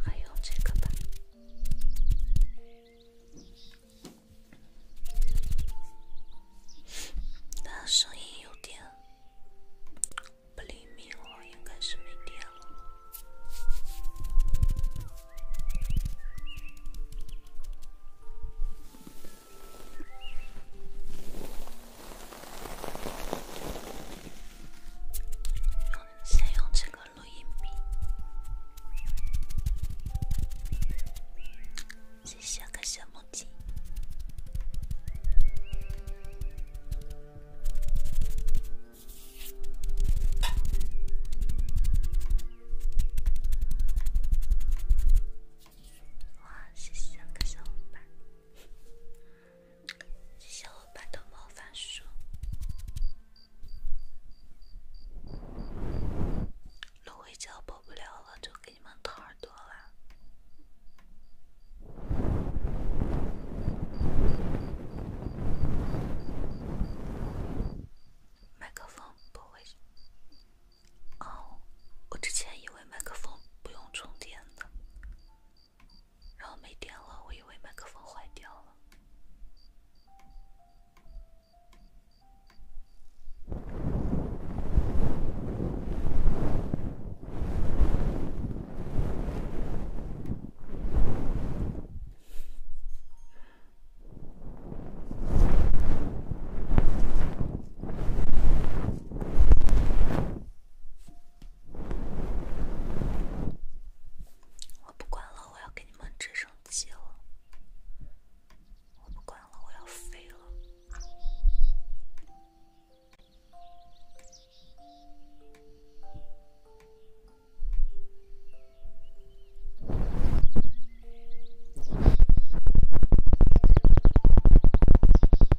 还有这个吧，它声音有点不灵敏哦，应该是没电了。先用这个录音笔，个小木鸡。哇，谢谢各小伙伴。小伙伴的魔法书，芦荟胶播不了了，就给你们掏耳朵了。麦克风不会。哦，我之前以为麦克风不用充电的，然后没电了，我以为麦克风坏掉了。我不管了，我要给你们直升机了。我不管了，我要飞了。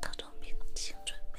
特种兵，请准备。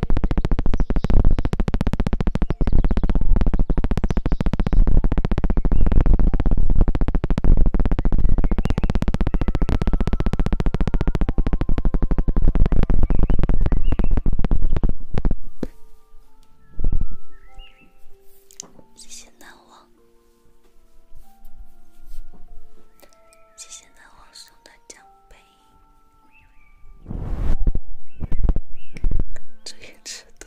谢谢难忘，谢谢难忘送的奖杯。职业尺度。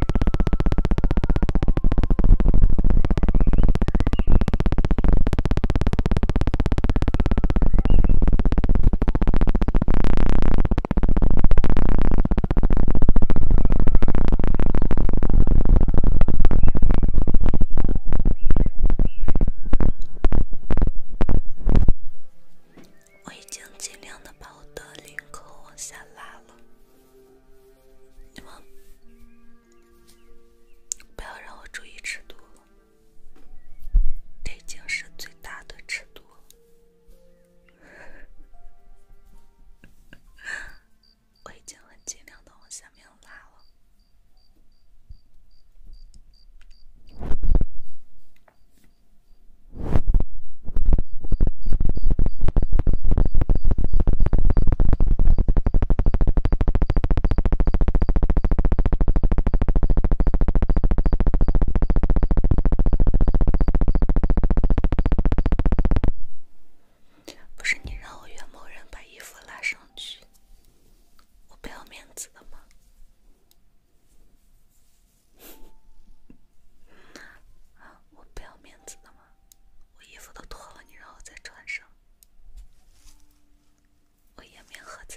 我已经尽量的把我的领口往下拉了。你们不要让我注意尺度了，已经是最大的尺度了。我已经很尽量的往下面拉了。不是你让我约某人把衣服拉上去，我不要面子的吗？啊，我不要面子的吗？我衣服都脱了，你让我再穿上，我颜面何在？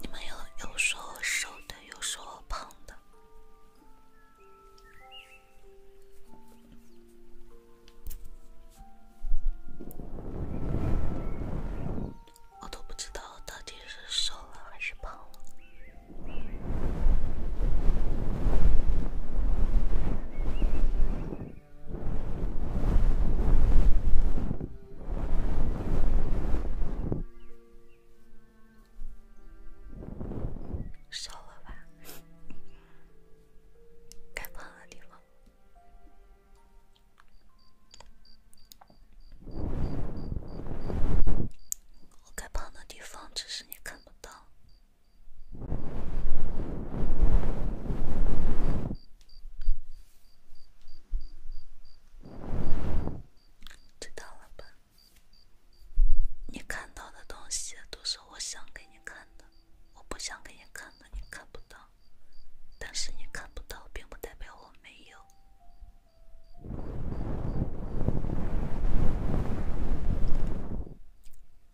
你们又又说我瘦的，又说我胖的，我都不知道到底是瘦了还是胖了。瘦了吧，该胖的地方，我该胖的地方，只是你看不到。知道了吧？你看到的东西都是我想给你看的，我不想给你看的你看不到，但是你看不到并不代表我没有。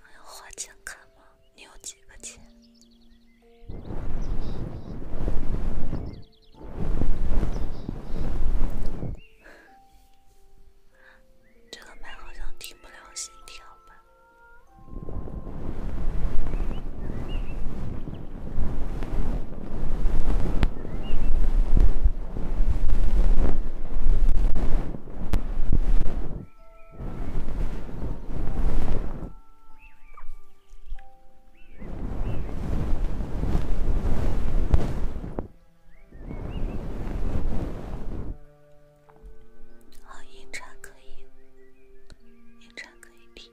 还要花钱看吗？你有几个钱？这个麦好像听不了心跳吧。好音叉可以，音叉可以听。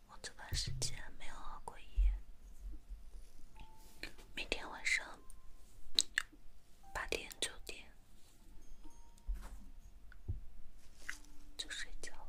我这段时间没有熬过夜，每天晚上八点九点就睡觉了。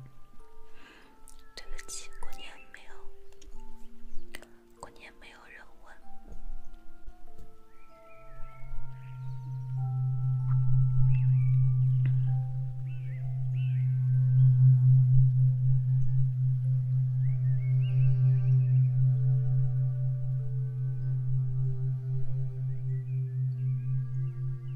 对不起，过年没有，过年没有人问。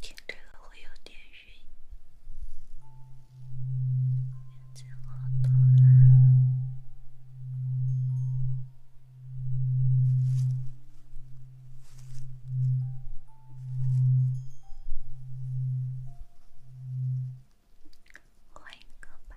听这个会有点晕，眼睛好多了。换一个吧。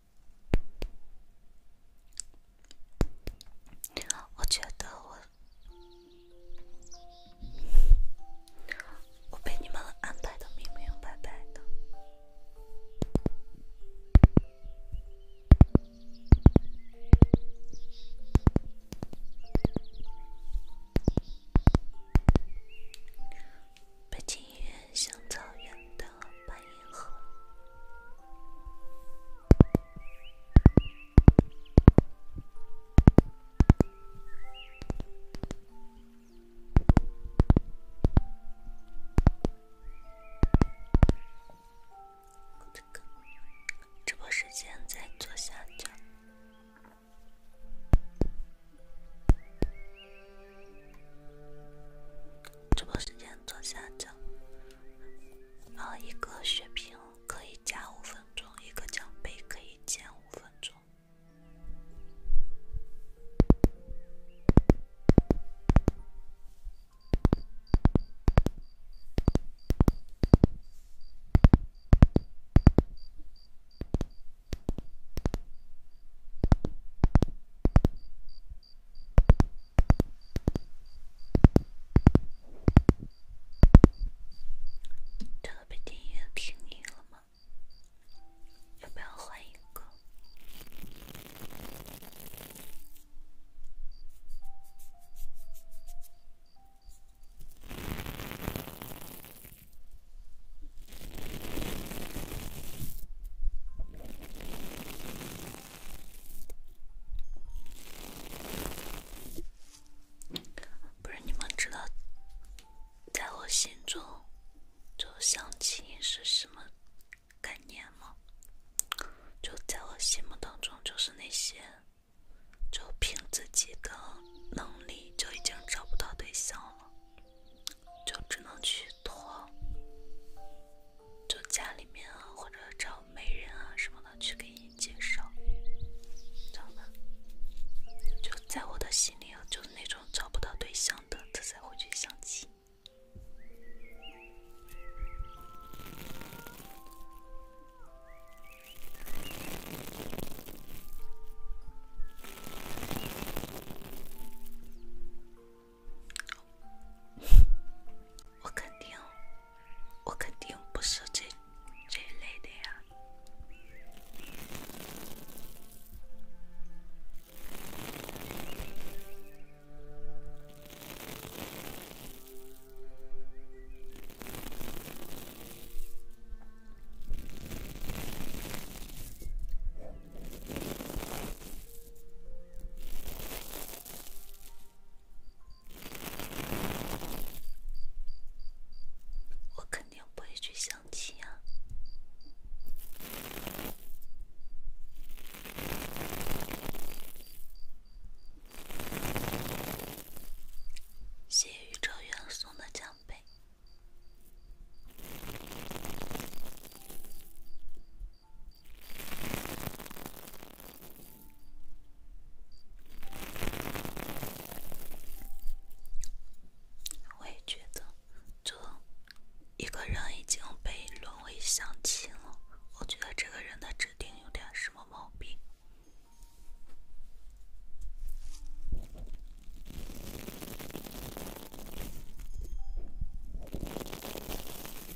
我觉得我，我被你们安排的明明白白的。北京音乐像草原的。半银河。这个直播时间在左下角。直播时间。左下降，然后一个血瓶可以加五分钟，一个奖杯可以减五分钟。特别音乐听腻了吗？要不要换一个？不是你们知道，在我心中，就相亲是什么概念吗？就在我心目当中，就是那些，就凭自己的能力就已经找不到对象了，就只能去。托，就家里面啊，或者找媒人啊什么的去给你介绍，知道吧？就在我的心里，就是那种找不到对象的，他才会去相亲。我肯定，我肯定不是这这一类的呀。我肯定不会去相亲啊！谢宇宙元送的奖杯。我也觉得，就一个人已经被沦为相亲了。我觉得这个人的指定有点什么毛病。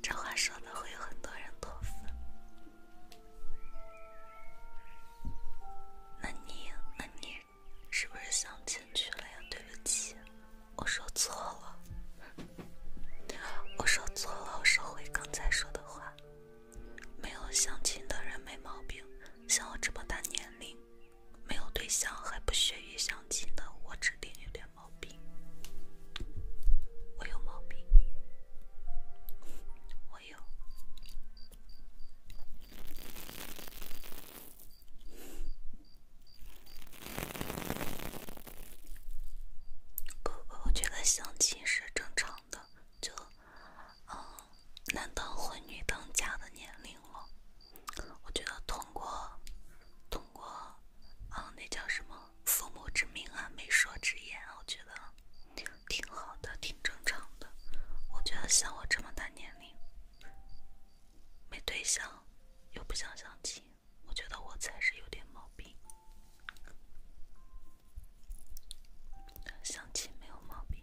这话说的会有很多人脱粉，那你，那你是不是相亲去了呀？对不起。我说错了，我说错了，我收回刚才说的话。没有相亲的人没毛病，像我这么大年龄，没有对象还不屑于相亲的，我指定有点毛病。我有毛病，我有。不不，我觉得相亲是正常的，就嗯，男当婚女当嫁的年龄了。我觉得通过通过，嗯，那叫什么父母之命啊，媒妁之言，我觉得挺好的，挺正常的。我觉得像我这么大年龄，没对象又不想相亲。我觉得我才是有点毛病，相亲没有毛病。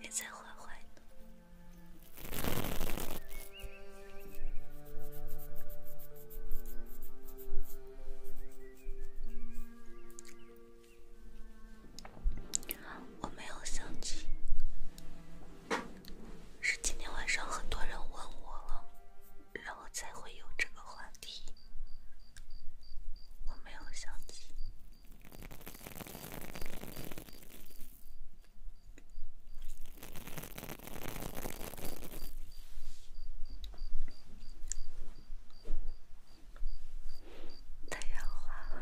也在坏坏呢。我没有想起，是今天晚上很多人问我了，然后才会有这个话题。我没有想起，太阳花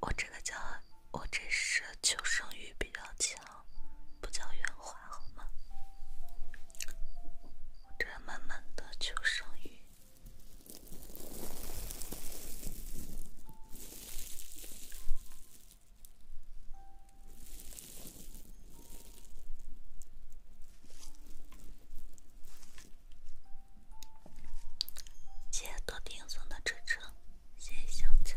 我这个叫，我这是求生欲比较强，不叫圆滑好吗？这满满的求生欲。谢谢多听送的支持，谢谢香菜。